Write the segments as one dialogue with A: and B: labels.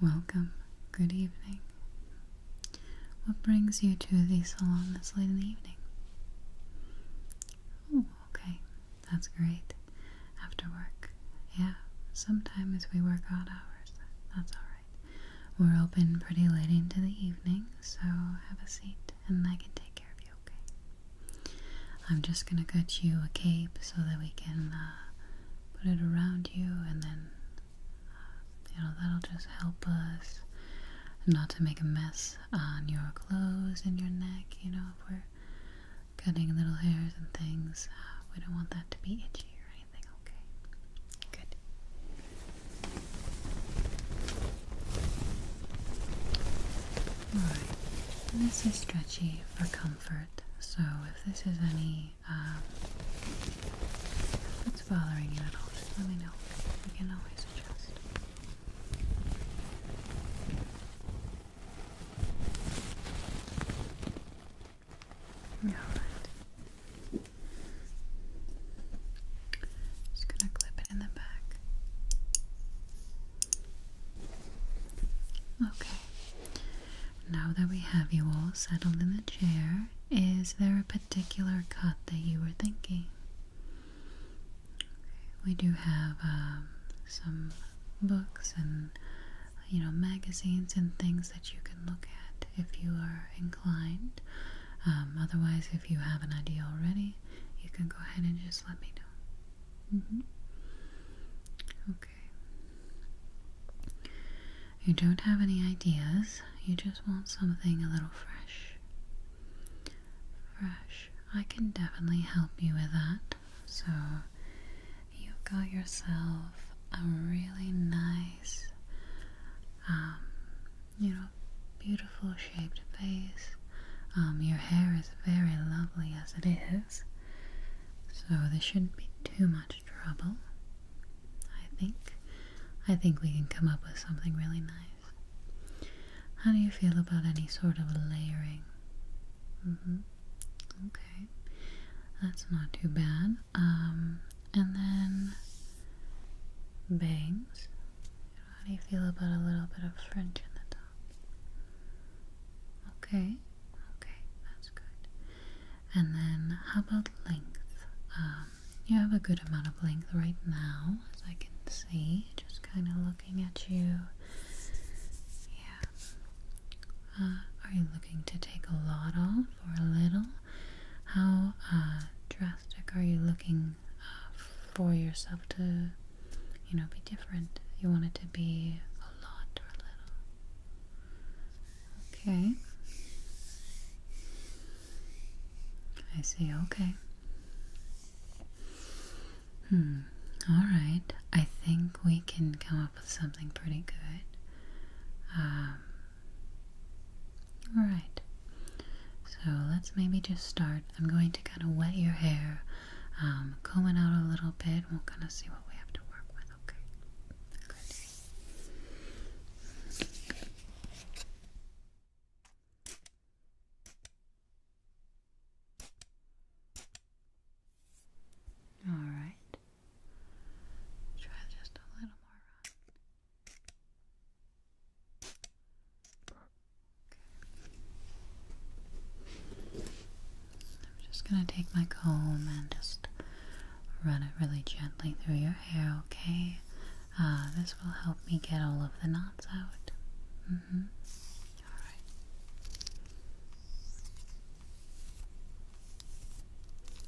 A: Welcome. Good evening. What brings you to the salon this late in the evening? Oh, okay. That's great. After work. Yeah, sometimes we work odd hours. That's alright. We're open pretty late into the evening, so have a seat and I can take care of you, okay? I'm just gonna cut you a cape so that we can uh, put it around you and then, uh, you know, that'll just help us not to make a mess on your clothes and your neck, you know, if we're cutting little hairs and things. Uh, we don't want that to be itchy right? okay? Good. Alright, this is stretchy for comfort, so if this is any, um, if bothering you at all, let me know. We can always adjust. Alright. Just gonna clip it in the back. Okay. Now that we have you all settled in the chair, is there a particular cut that you were thinking? We do have um, some books and you know magazines and things that you can look at if you are inclined. Um, otherwise, if you have an idea already, you can go ahead and just let me know. Mm-hmm. Okay. You don't have any ideas, you just want something a little fresh. Fresh. I can definitely help you with that. So, you've got yourself a really nice, um, you know, beautiful shaped face. Um, your hair is very lovely as it is, so this shouldn't be too much trouble. I think, I think we can come up with something really nice. How do you feel about any sort of layering? Mm-hmm. Okay, that's not too bad. Um, and then bangs. How do you feel about a little bit of fringe in the top? Okay, okay, that's good. And then how about length? Um, you have a good amount of length right now, as I can see, just kind of looking at you. Yeah. Uh, are you looking to take a lot off? for a little? How uh, drastic are you looking uh, for yourself to, you know, be different? You want it to be a lot or a little? Okay. I see, okay. Hmm, alright. I think we can come up with something pretty good. Um, Alright, so let's maybe just start. I'm going to kind of wet your hair, um, out a little bit. We'll kind of see what we have to work with, okay? Good. All right just a little more Okay. I'm just going to take my comb and just run it really gently through your hair, okay? Uh, this will help me get all of the knots out. Mm hmm. All right.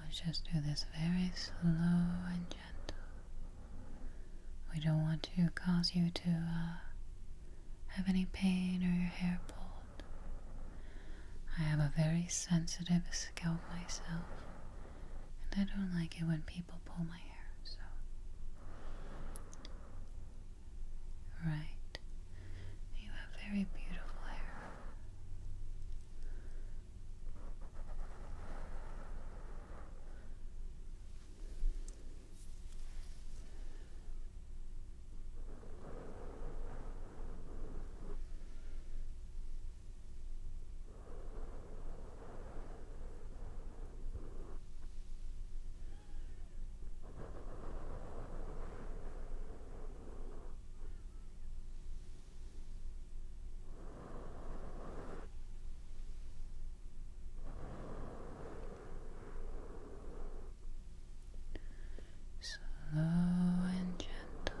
A: We'll just do this very slow and gentle. We don't want to cause you to uh, have any pain or your hair pulled. I have a very sensitive scalp myself, and I don't like it when people pull my hair, so Right. You have very beautiful hair. Slow and gentle.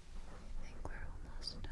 A: I think we're almost done.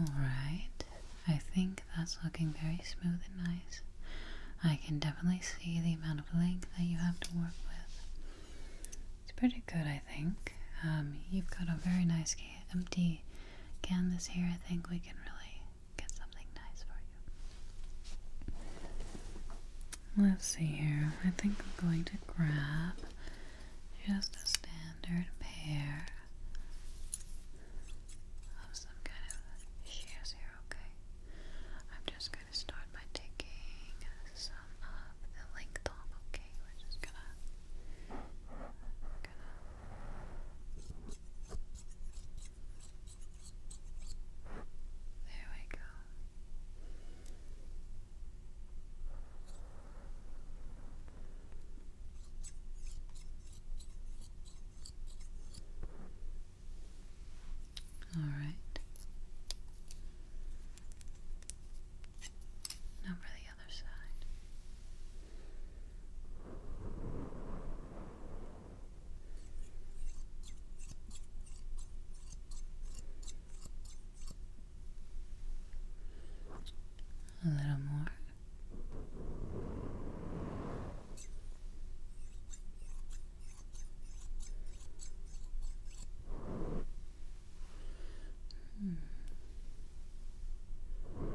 A: All right, I think that's looking very smooth and nice. I can definitely see the amount of length that you have to work with. It's pretty good, I think. Um, you've got a very nice empty canvas here. I think we can really get something nice for you. Let's see here. I think I'm going to grab just a standard pair of some kind of shears here, okay? I'm just gonna start by taking some of the length off, okay? We're just gonna, gonna there we go. All right. Now for the other side. A little more. Hmm. All right.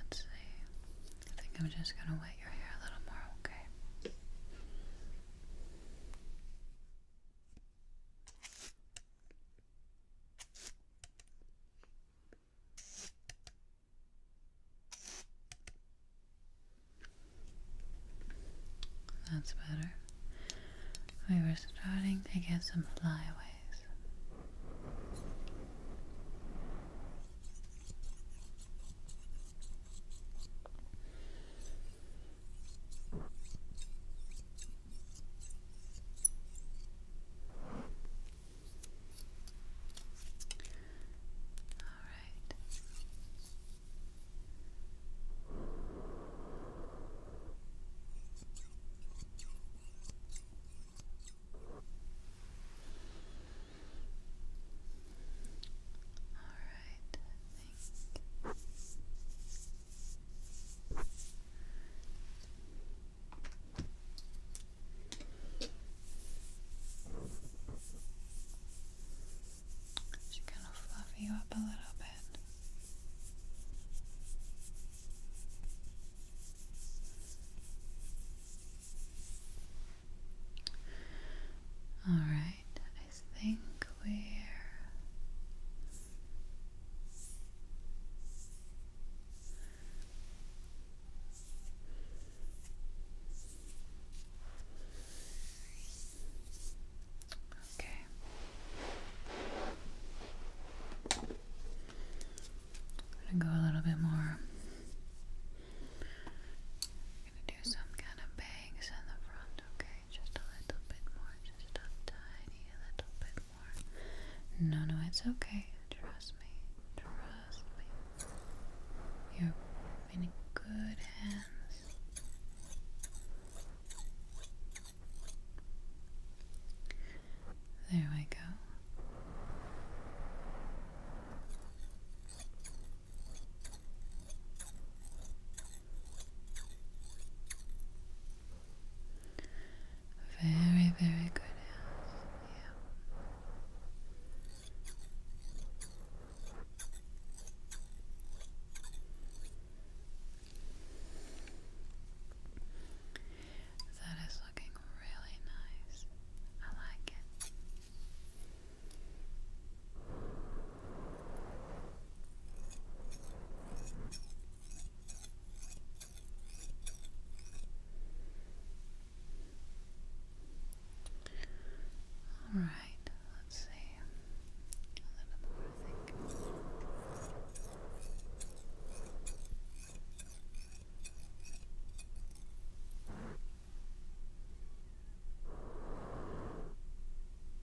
A: Let's see. I think I'm just going to wet your hair a little more, okay? That's better. We were starting to get some flyaways. All right. All right, I just kind of fluff you up a little bit. All right, I think we're Okay. I'm gonna go a little bit more. I'm gonna do some kind of bangs in the front, okay? Just a little bit more, just a tiny little bit no, no, it's okay. Trust me. Trust me. You're in good hands. There we go. Very, very good. Yeah. That is looking really nice. I like it. All right, let's see. A little more,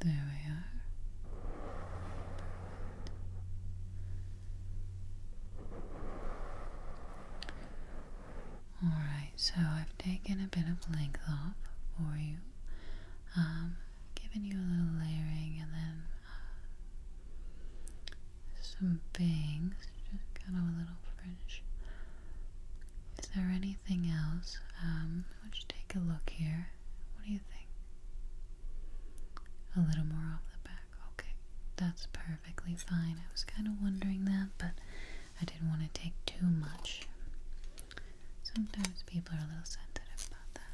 A: There we are. Alright, so I've taken a bit of length off for you. Um, given you a little layering and then uh, some bangs, just kind of a little fringe. Is there anything else? Um, let's take a look here. What do you think? A little more off the back. Okay, that's perfectly fine. I was kind of wondering that, but I didn't want to take too much. Sometimes people are a little sensitive about that.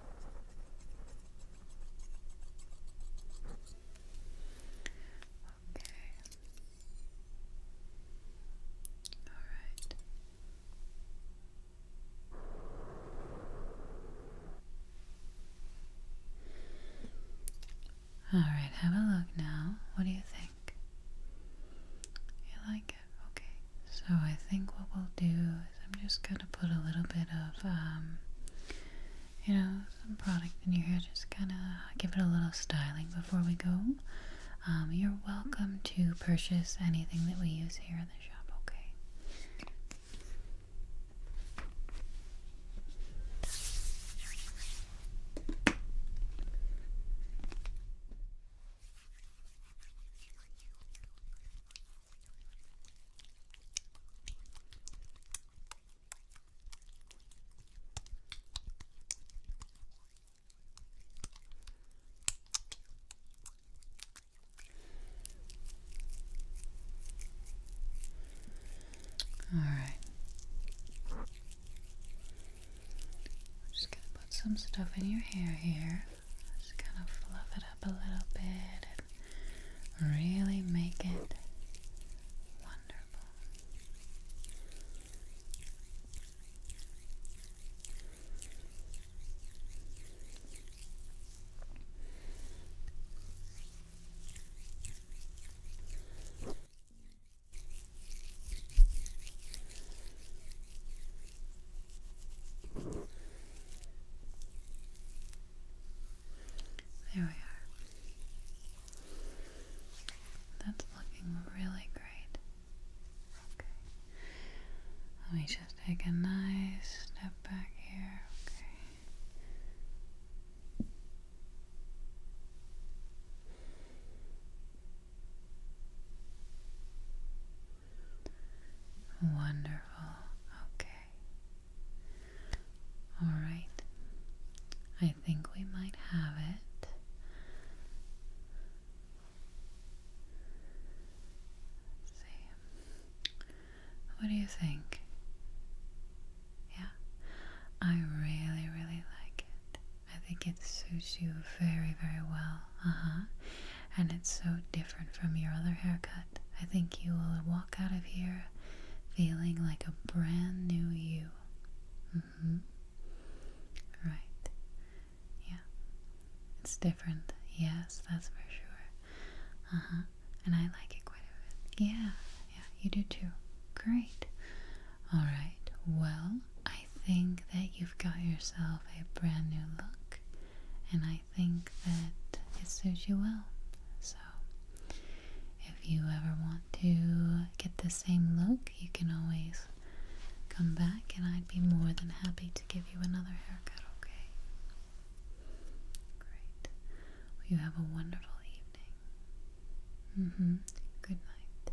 A: Okay. All right. All right, have a look now. What do you think? You like Okay, so I think what we'll do is I'm just gonna put a little bit of, um, you know, some product in your hair, just kind of give it a little styling before we go. Um, you're welcome to purchase anything that we use here in the shop, okay? All right. I'm just going to put some stuff in your hair here. Just gonna fluff it up a little bit and really make it wonderful. There we are. That's looking really great. Okay. Let me just take a nice step back here. Okay. Wonderful. Okay. All right. I think we might have it. let What do you think? Yeah. I really, really like it. I think it suits you very, very well. Uh huh and it's so different from your other haircut. I think you will walk out of here feeling like a brand new you. Mm-hmm. Right. Yeah. It's different. Yes, that's for sure. Uh-huh. And I like it quite a bit. Yeah. Yeah, you do too. Great. All right. Well, I I think that you've got yourself a brand new look, and I think that it suits you well. So, if you ever want to get the same look, you can always come back, and I'd be more than happy to give you another haircut, okay? Great. you have a wonderful evening. Mm hmm. Good night.